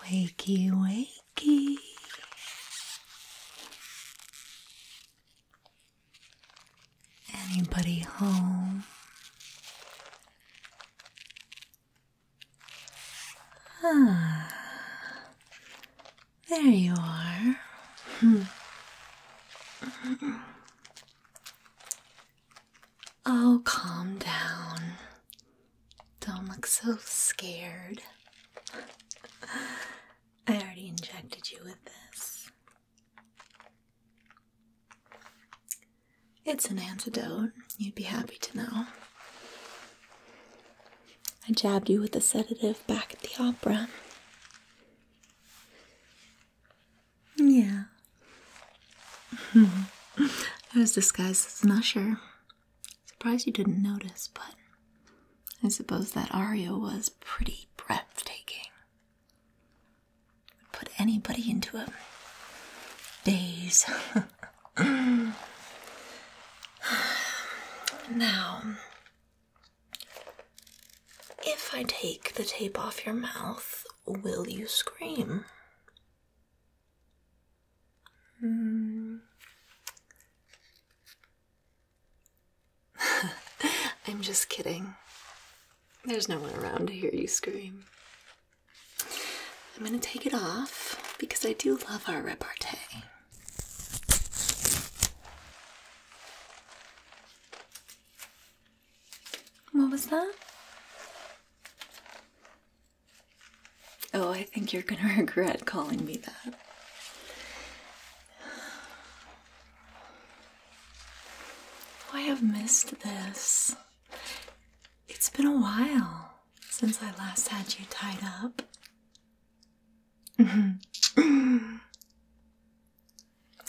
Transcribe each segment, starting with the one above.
Wakey, wakey. Anybody home? Ah, there you are. Hmm. Oh, calm down. Don't look so scared. I already injected you with this. It's an antidote, you'd be happy to know. I jabbed you with a sedative back at the opera. Yeah. I was disguised as an usher. Surprised you didn't notice, but I suppose that aria was pretty breathtaking. Would put anybody into a daze. now, if I take the tape off your mouth, will you scream? Hmm. I'm just kidding. There's no one around to hear you scream. I'm gonna take it off because I do love our repartee. What was that? Oh, I think you're gonna regret calling me that. Oh, I have missed this. It's been a while since I last had you tied up.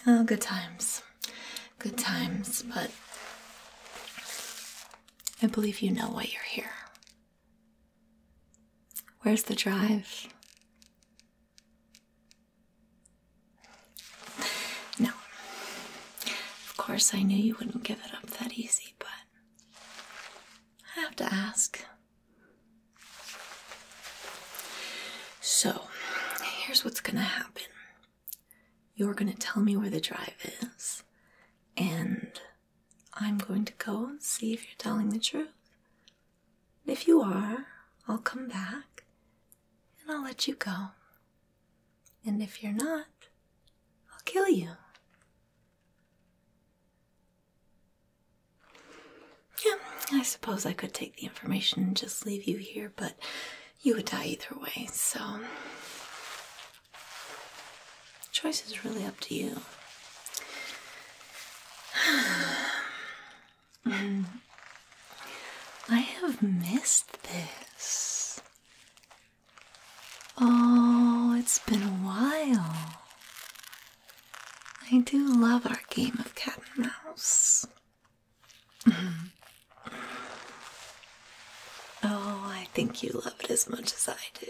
Oh, good times. Good times, but I believe you know why you're here. Where's the drive? No. Of course, I knew you wouldn't give it up that easy, but I have to ask. So, here's what's gonna happen. You're going to tell me where the drive is, and I'm going to go and see if you're telling the truth. If you are, I'll come back and I'll let you go. And if you're not, I'll kill you. Yeah, I suppose I could take the information and just leave you here, but you would die either way, so choice is really up to you. Mm. I have missed this. Oh, it's been a while. I do love our game of cat and mouse oh, I think you love it as much as I do.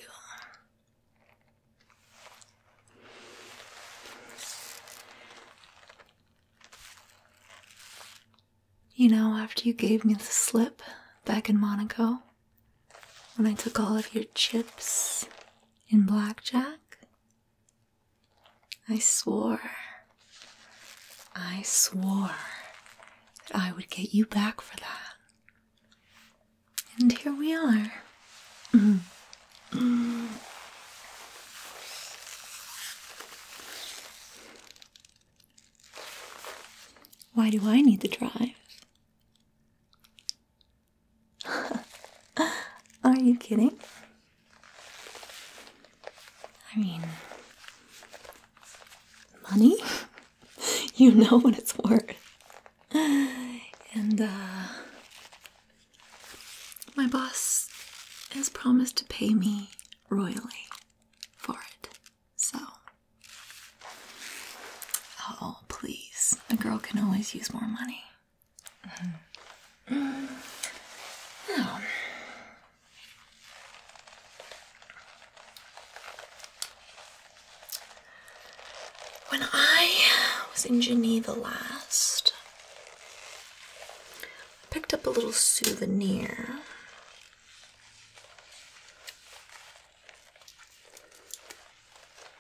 You know, after you gave me the slip back in Monaco, when I took all of your chips in blackjack, I swore, I swore that I would get you back for that. And here we are. Why do I need the drive? Are you kidding? I mean, money? you know what it's worth. And, uh, my boss has promised to pay me royally for it. So, oh, please. A girl can always use more money. Hmm. when I was in Geneva last, I picked up a little souvenir.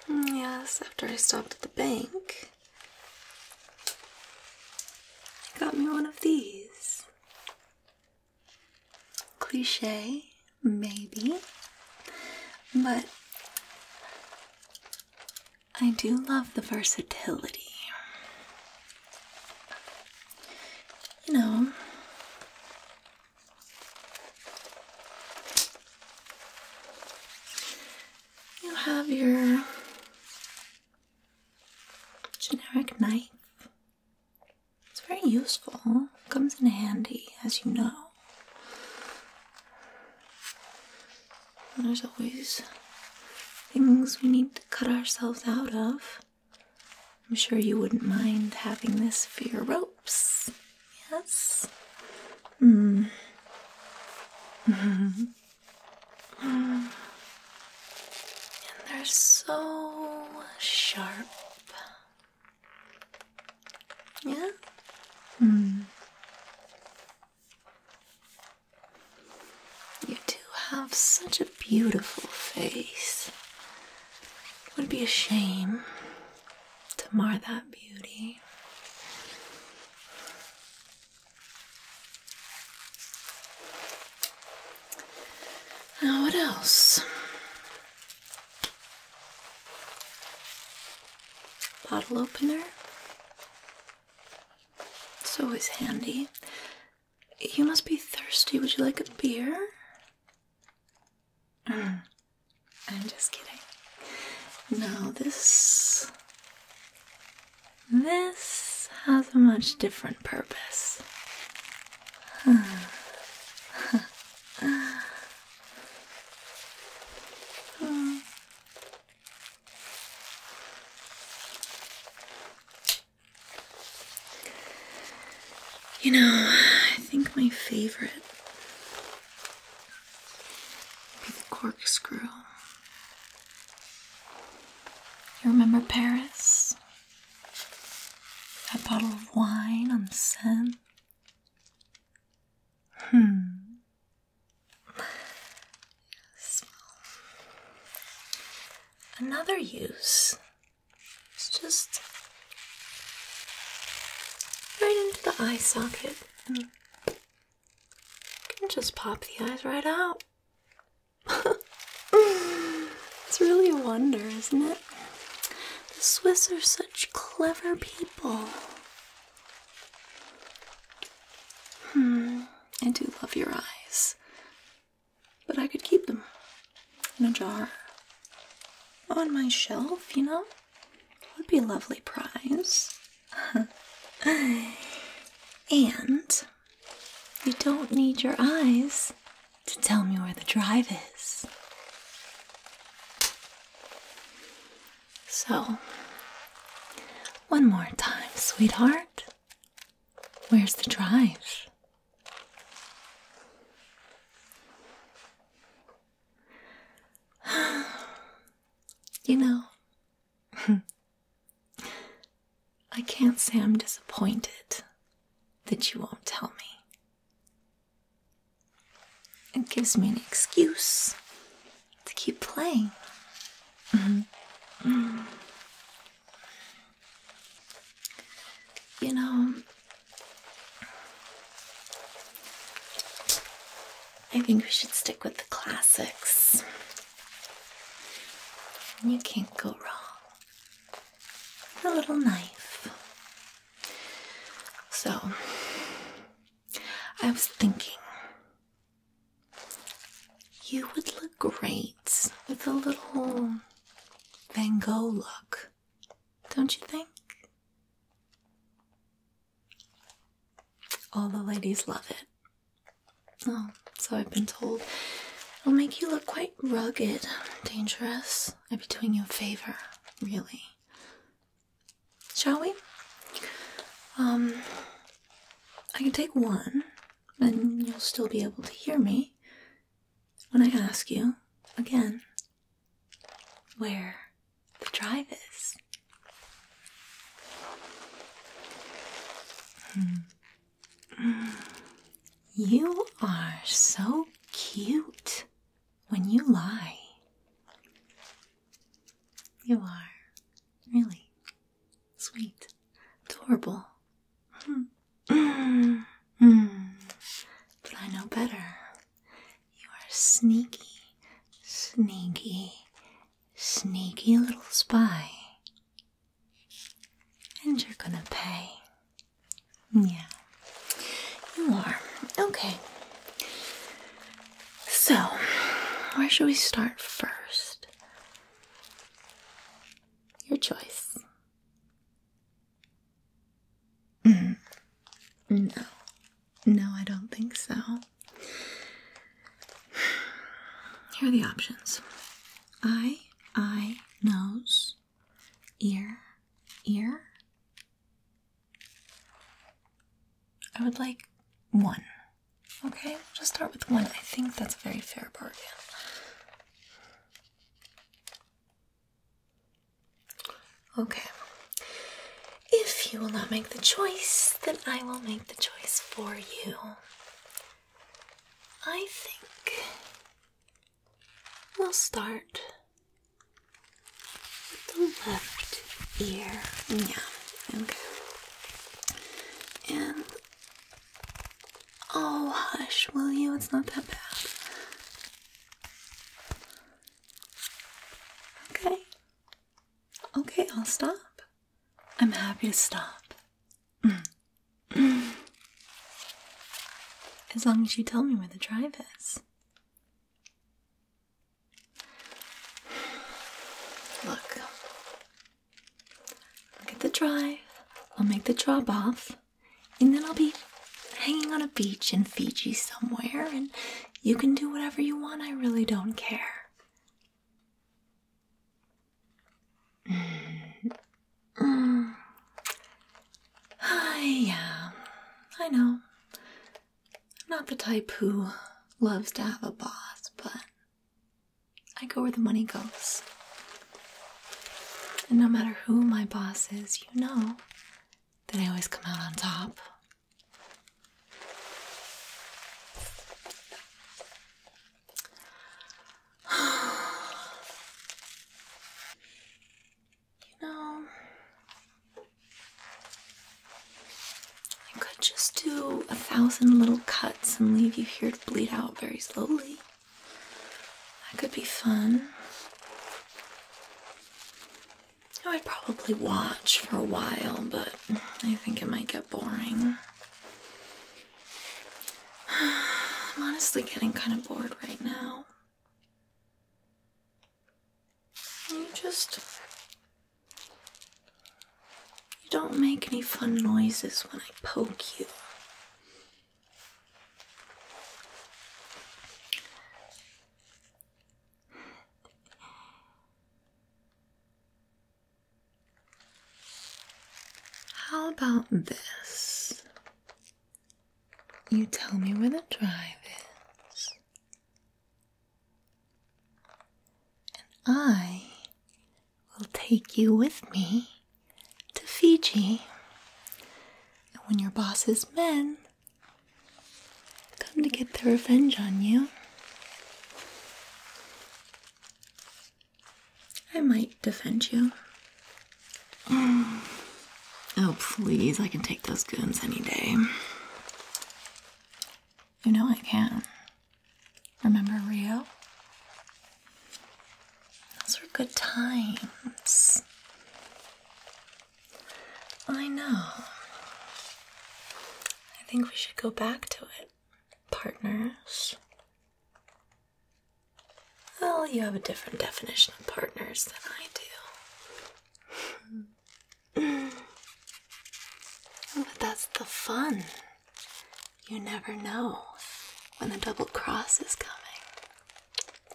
Hmm, yes, after I stopped at the bank. I got me one of these. Cliche, maybe, but I do love the versatility. You know, you have your generic knife. It's very useful, comes in handy, as you know. there's always things we need to cut ourselves out of. I'm sure you wouldn't mind having this for your ropes. Yes? Mm. they're so sharp. Yeah? Hmm. You do have such a beautiful face. It would be a shame to mar that beauty. Now, what else? Bottle opener. It's always handy. You must be thirsty. Would you like a beer? I'm just kidding. No, this this has a much different purpose. You know, I think my favorite the corkscrew. You remember Paris? That bottle of wine on the Seine? Hmm. Another use It's just right into the eye socket can just pop the eyes right out. it's really a wonder, isn't it? The Swiss are such clever people. Hmm, I do love your eyes. But I could keep them in a jar. On my shelf, you know? Would be a lovely prize. and you don't need your eyes to tell me where the drive is. So, one more time, sweetheart. Where's the drive? you know, I can't say I'm disappointed that you won't tell me. It gives me an excuse to keep playing. Mm-hmm. Mm. You know, I think we should stick with the classics. You can't go wrong. A little knife. So, I was thinking you would look great with a little Van Gogh look, don't you think? All the ladies love it. Oh, so I've been told. It'll make you look quite rugged, dangerous. I'd be doing you a favor, really. Shall we? Um, I can take one, and you'll still be able to hear me when I ask you again where the drive is. Hmm. You are so cute when you lie. You are really sweet, adorable. Hmm. Hmm. But I know better. You are sneaky, sneaky, sneaky little spy. And you're gonna pay. Yeah, you are. Okay. So, where should we start first? Your choice. Mm. No, no, I don't think so. Here are the options eye, eye, nose, ear, ear. I would like one. Okay, we'll just start with one. I think that's a very fair bargain. Okay. If you will not make the choice, then I will make the choice for you. I think we'll start with the left ear. Yeah, okay. And oh, hush, will you? It's not that bad. Okay. Okay, I'll stop. I'm happy to stop. as long as you tell me where the drive is. Look. Look at the drive. I'll make the drop off, and then I'll be hanging on a beach in Fiji somewhere, and you can do whatever you want. I really don't care. Mm. Mm. yeah, I know. not the type who loves to have a boss, but I go where the money goes. And no matter who my boss is, you know then I always come out on top. you know, I could just do a thousand little cuts and leave you here to bleed out very slowly. That could be fun. I would probably watch for a while, but I think it might get boring. I'm honestly getting kind of bored right now. You just. You don't make any fun noises when I poke you. How about this? You tell me where the drive is, and I will take you with me to Fiji and when your boss's men come to get their revenge on you, I might defend you. Oh, please, I can take those goons any day. You know I can. Remember Rio? Those were good times. I know. I think we should go back to it, partners. Well, you have a different definition of partners than I do. Hmm. but that's the fun. You never know when the double cross is coming.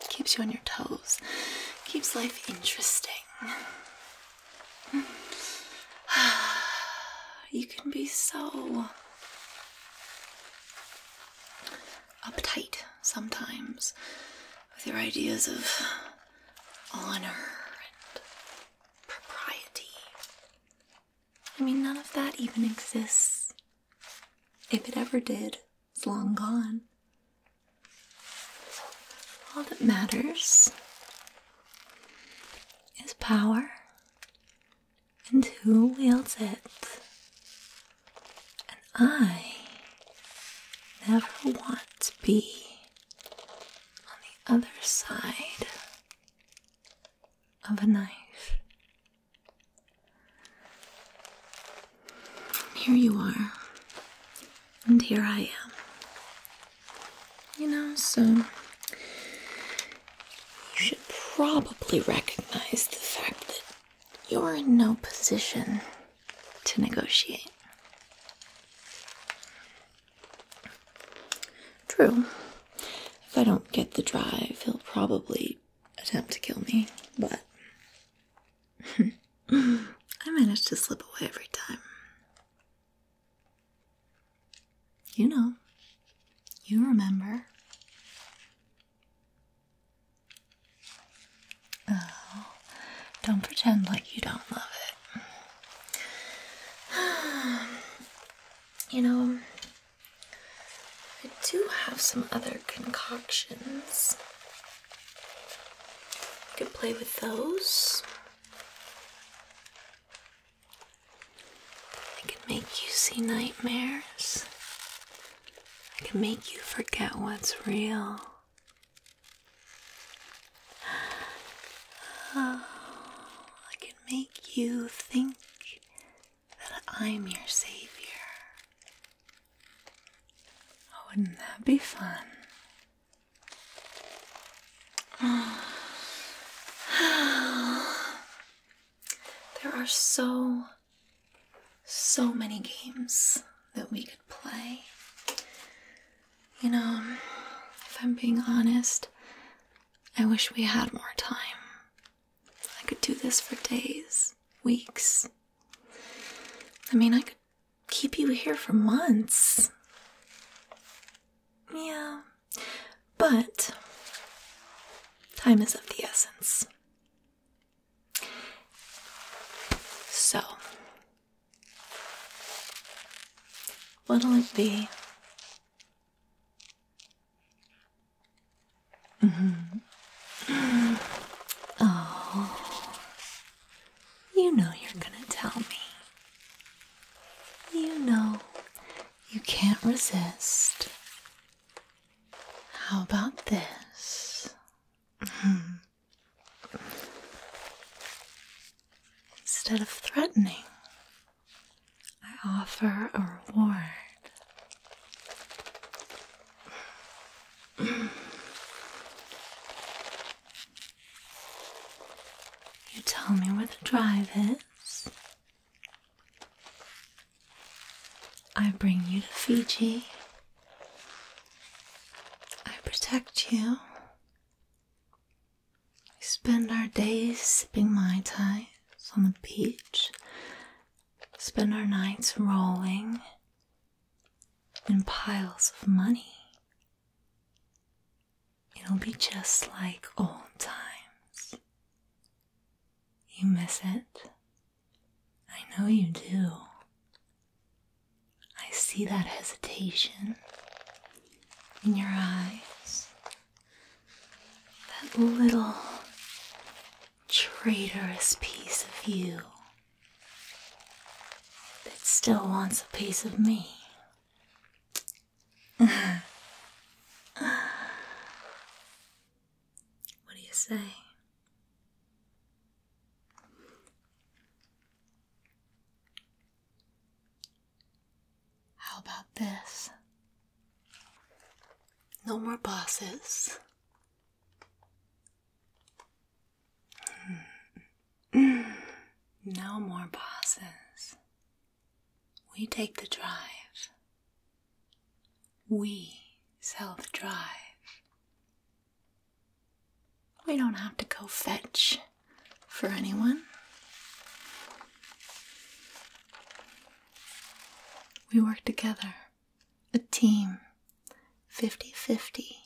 Keeps you on your toes. Keeps life interesting. You can be so uptight sometimes with your ideas of honor and propriety. I mean, none of that even exists. If it ever did, it's long gone. All that matters is power and who wields it. And I never want to be on the other side of a knife. Here you are, and here I am. You know, so you should probably recognize the fact that you're in no position to negotiate. True. If I don't get the drive, he'll probably attempt to kill me, but I managed to slip away every time. You know, you remember. Oh, don't pretend like you don't love it. You know, I do have some other concoctions. You could play with those. I could make you see nightmares. I could make you forget what's real. Oh, I could make you think that I'm your savior. Oh, wouldn't that be fun? there are so, so many games that we could play. You know, if I'm being honest, I wish we had more time I could do this for days, weeks. I mean, I could keep you here for months. Yeah, but time is of the essence. So, what'll it be? Mm-hmm. Oh, you know you're gonna tell me. You know you can't resist. How about this? Hmm. Instead of threatening, I offer a reward. you tell me where the drive is. I bring you to Fiji. I protect you. We spend our days sipping Mai Tais on the beach spend our nights rolling in piles of money. It'll be just like old times. You miss it? I know you do. I see that hesitation in your eyes. That little traitorous piece of you that still wants a piece of me. what do you say? How about this? No more bosses. Hmm. No more bosses. We take the drive. We self drive. We don't have to go fetch for anyone. We work together, a team, 50 50,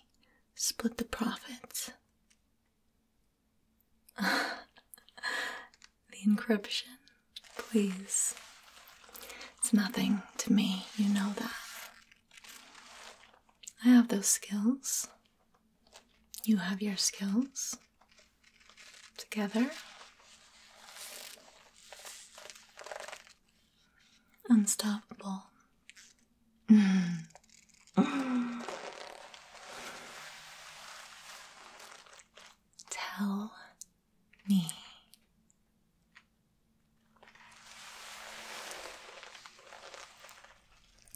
split the profits. the encryption, please. It's nothing to me, you know that. I have those skills. You have your skills together unstoppable tell me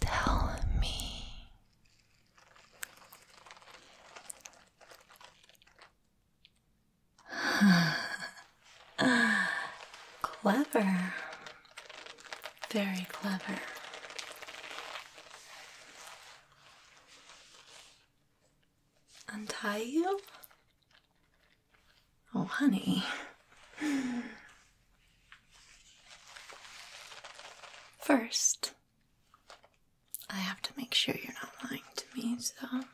Tell me, clever. Very clever. Untie you? Oh, honey. First, I have to make sure you're not lying to me, so I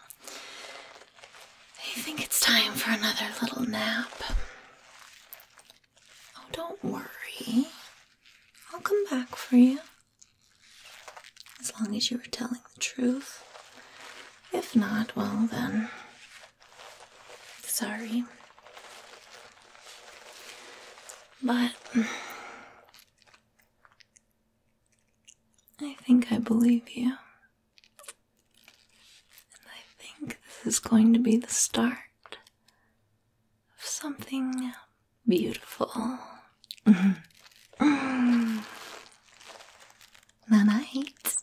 think it's time for another little nap. Oh, don't worry. I'll come back for you. As long as you were telling the truth. If not, well then. Sorry. But I think I believe you. And I think this is going to be the start of something beautiful. Night mm-hmm. mm. night.